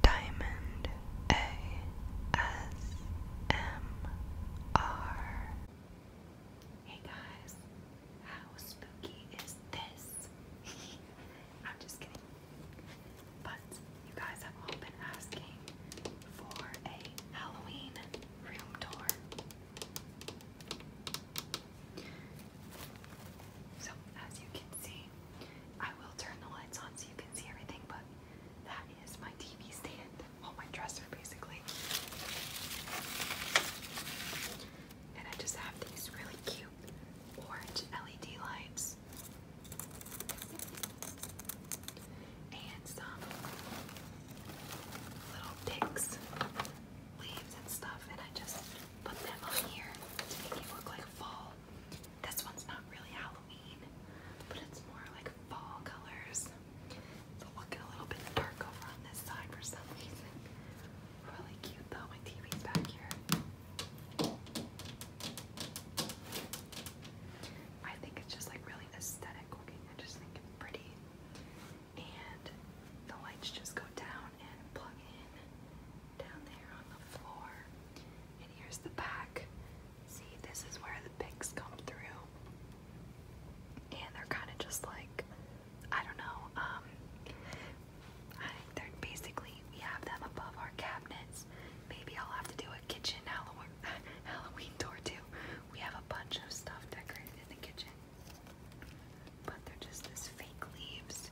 Diamond ASMR. Hey guys, how spooky is this? I'm just kidding. But you guys have all been asking for a Halloween room tour. So, as you can see, I will turn the lights on so you can see everything, but that is my TV stand. all my dresser, basically. And I just have these really cute orange LED lights. And some little picks, leaves and stuff, and I just put them on here to make it look like fall. This one's not really Halloween, but it's more like fall colors. So we a little bit dark over on this side for some reason. Really cute though, my TV's back here. I think it's just like really aesthetic looking. I just think it's pretty. And the lights just go down and plug in down there on the floor. And here's the back. See, this is where the pics come through. And they're kind of just like, I don't know, um, I, they're basically, we have them above our cabinets. Maybe I'll have to do a kitchen Halloween, Halloween door too. We have a bunch of stuff decorated in the kitchen but they're just this fake leaves.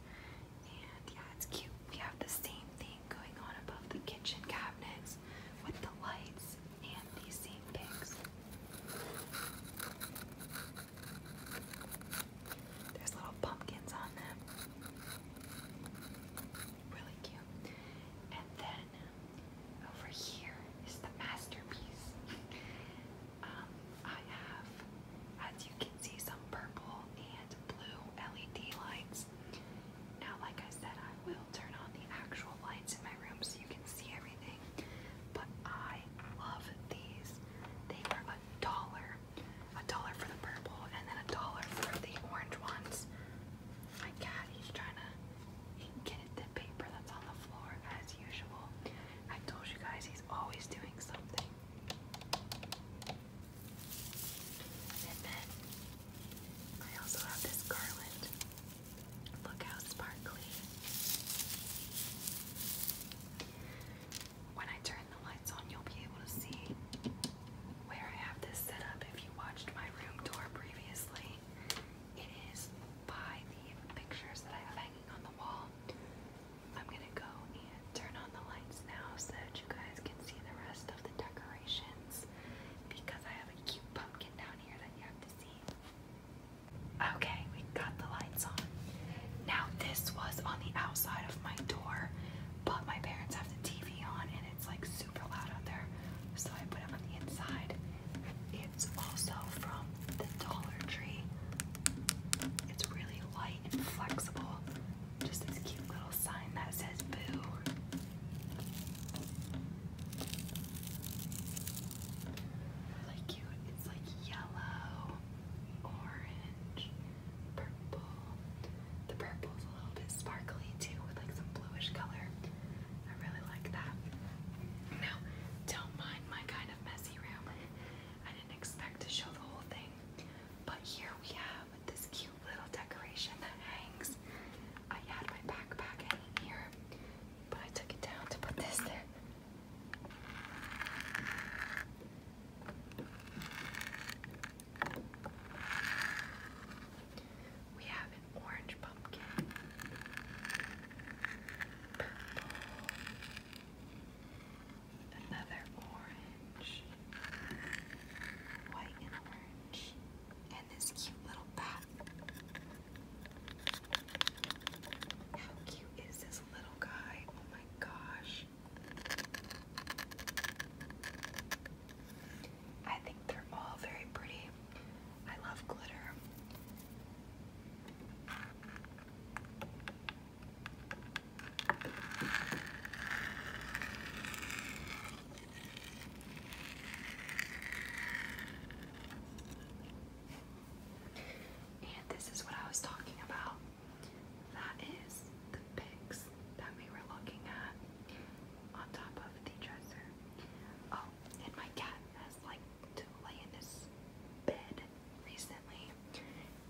And yeah, it's cute. We have the same thing going on above the kitchen cabinets with the lights and these same pigs. There's little pumpkins on them. Really cute. And then over here is the masterpiece. Um, I have, as you can see, some purple and blue LED lights. Now, like I said, I will turn on the actual lights in my room so you can see everything. But I love these. They were a dollar. A dollar for the purple and then a dollar for the orange ones. My cat, he's trying to get at the paper that's on the floor as usual. I told you guys he's always doing something. And then I also have this garland. Look how sparkly. When I turn the lights on, you'll be able to see where I have this set up. If you watched my room tour previously, it is by the pictures that I have hanging on the wall. I'm gonna go and turn on the lights now so that you guys can see the rest of the decorations because I have a cute pumpkin down here that you have to see. Okay, we got the lights on. Now this was on the outside of my door, but my parents have the TV on and it's like super loud out there, so I put it on the inside. It's also from the Dollar Tree. It's really light and flexible. Just this cute little sign that says boo. Really cute. It's like yellow, orange, purple. The purple's a little bit sparkly too with like some bluish color. I really like that. Now, don't mind my kind of messy room. I didn't expect to show the whole thing, but here we have this cute little decoration that hangs. I had my backpack hanging here, but I took it down to put this there. We have an orange pumpkin, Another orange. White and orange. And this cute little bat. How cute is this little guy? Oh my gosh. I think they're all very pretty. I love glitter. And this is what I was talking about. That is the pics that we were looking at on top of the dresser. Oh, and my cat has like to lay in this bed recently.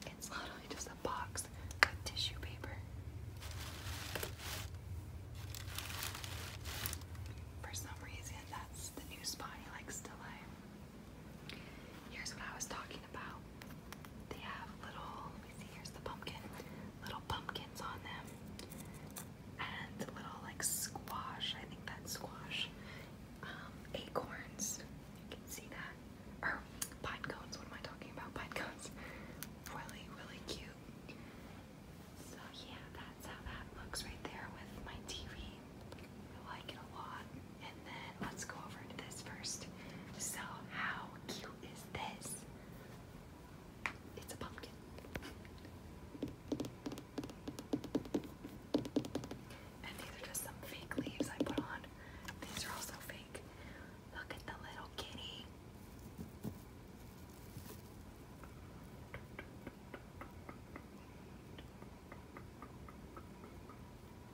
It's literally just a box of tissue paper. For some reason, that's the new spot he likes to lay. Here's what I was talking about. They have little, let me see, here's the pumpkin, little pumpkins on them and little like squash. I think that's squash. Um, acorns. You can see that. Or pine cones. What am I talking about? Pine cones. Really, really cute. So yeah, that's how that looks right there with my TV. I like it a lot. And then let's go over to this first. So how cute is this? It's a pumpkin. And these are just some fake leaves I put on. These are also fake. Look at the little kitty.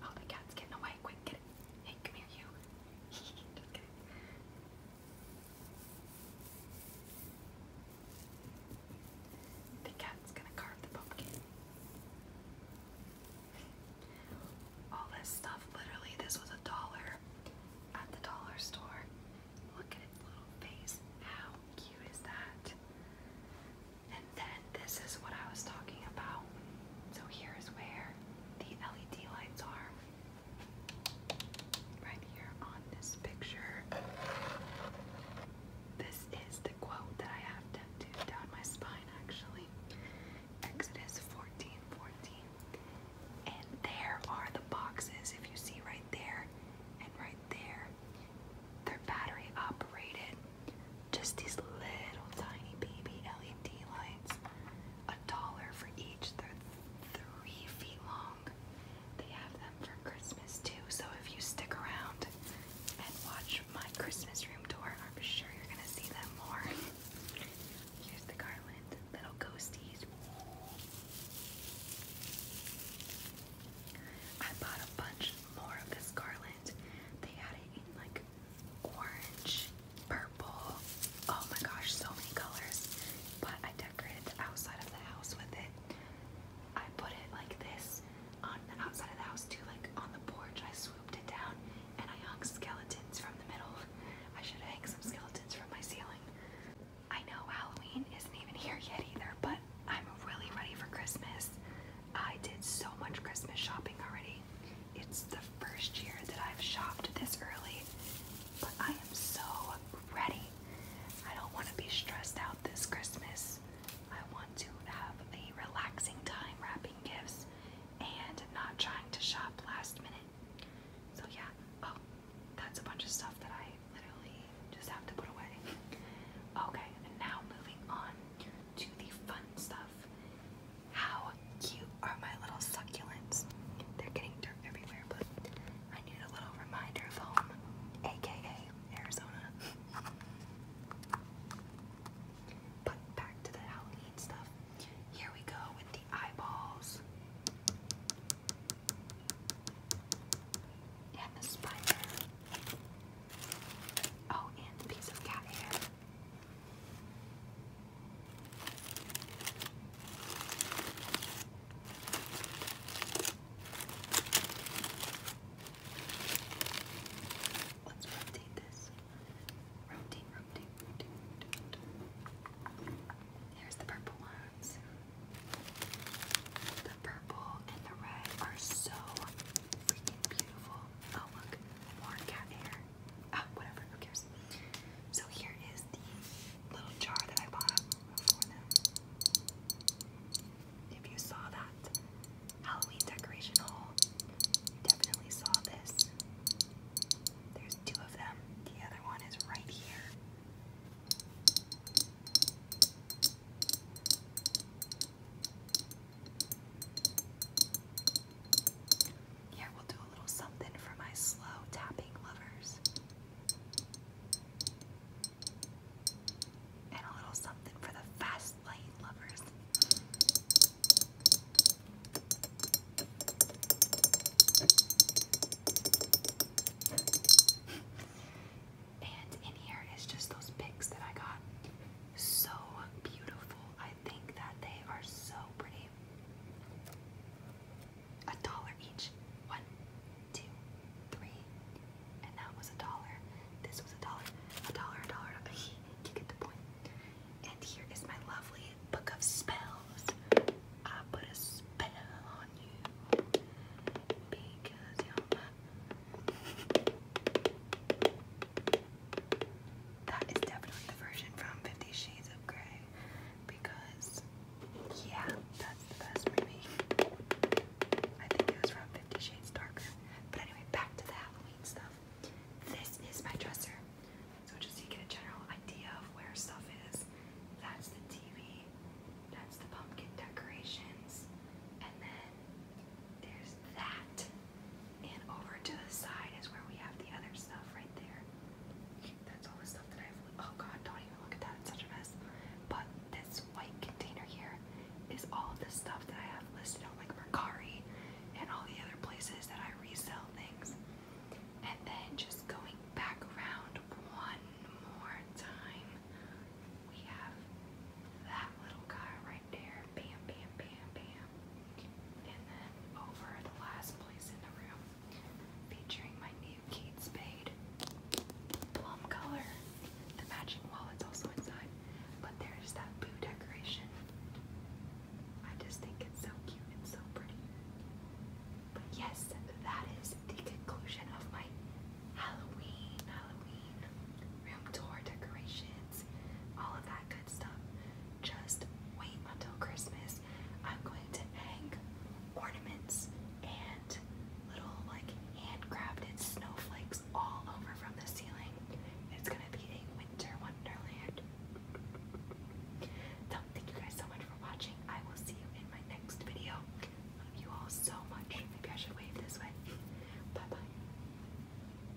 Oh, the cat's getting away. Quick, get it. Hey, come here, you. just kidding. The cat's gonna carve the pumpkin. All this stuff, literally, this was a dollar at the dollar store. Look at its little face. How cute is that? And then this is what I was talking about. So here is where the LED lights are right here on this picture. This is the quote that I have tattooed down my spine actually. Exodus 14, 14. And there are the boxes, if you see right there and right there. They're battery operated. Just these little tiny baby LED lights. A dollar for each. They're three feet long. They have them for Christmas too, so if you stick around and watch my Christmas room tour, I'm sure you're gonna see them more. Here's the garland, little ghosties. I bought a bunch more of this garland. They had it in like orange, purple, oh my gosh, so many colors. But I outside of the house with it. I put it like this on the outside of the house too, like on the porch. I swooped it down and I hung skeletons from the middle. I should hang some skeletons from my ceiling. I know Halloween isn't even here yet either, but I'm really ready for Christmas. I did so much Christmas shopping already. It's the first year that I've shopped this early, but I am so ready. I don't want to be stressed out this Christmas. I want to have a relaxing time wrapping gifts and not trying to shop last minute. So, yeah. Oh, that's a bunch of stuff that I literally just have to put away. Okay, and now moving on to the fun stuff. How cute are my little succulents? They're getting dirty everywhere, but I need a little reminder of home, aka Arizona. but back to the Halloween stuff. Here we go with the eyeballs and the spider. Oh, and the piece of cat hair. Let's rotate this. Rotate, rotate, rotate, Here's the purple ones. The purple and the red are so freaking beautiful. Oh, look, more cat hair. Ah, whatever, who cares? So here is the little jar that I bought for them. If you saw that Halloween decoration haul, you definitely saw this. There's two of them. The other one is right here. Here we'll do a little something for my slow tapping lovers. And a little something for the fast light lovers. and in here is just those picks that I got. So beautiful. I think that they are so pretty. A dollar each. One, two, three. And that was a dollar. This was a dollar. A dollar, a dollar. You get the point. And here is my lovely book of spells. I put a spell on you because you're that is definitely the version from Fifty Shades of Grey because, yeah, that's the best movie. I think it was from Fifty Shades Darker. But anyway, back to the Halloween stuff. This is my dresser. So just to get a general idea of where stuff is, that's the TV, that's the pumpkin decorations, and then there's that. And over to the side is where we have the other stuff right there. That's all the stuff that I've. Oh god, don't even look at that. It's such a mess. But this white container here is all the stuff that I have listed on like Mercari and all the other places that I resell things. And then just going back around one more time, we have that little guy there. Bam, bam, bam, bam. And then over the last place in the room, featuring my new Kate Spade plum color. The matching wallet's also inside, but there's that boo decoration. I just think it's so cute and so pretty. But yes, that is the conclusion of my Halloween, Halloween room tour decorations, all of that good stuff just wait until Christmas. I'm going to hang ornaments and little like handcrafted snowflakes all over from the ceiling. It's gonna be a winter wonderland. thank you guys so much for watching. I will see you in my next video. Love you all so much. Maybe I should wave this way. Bye bye.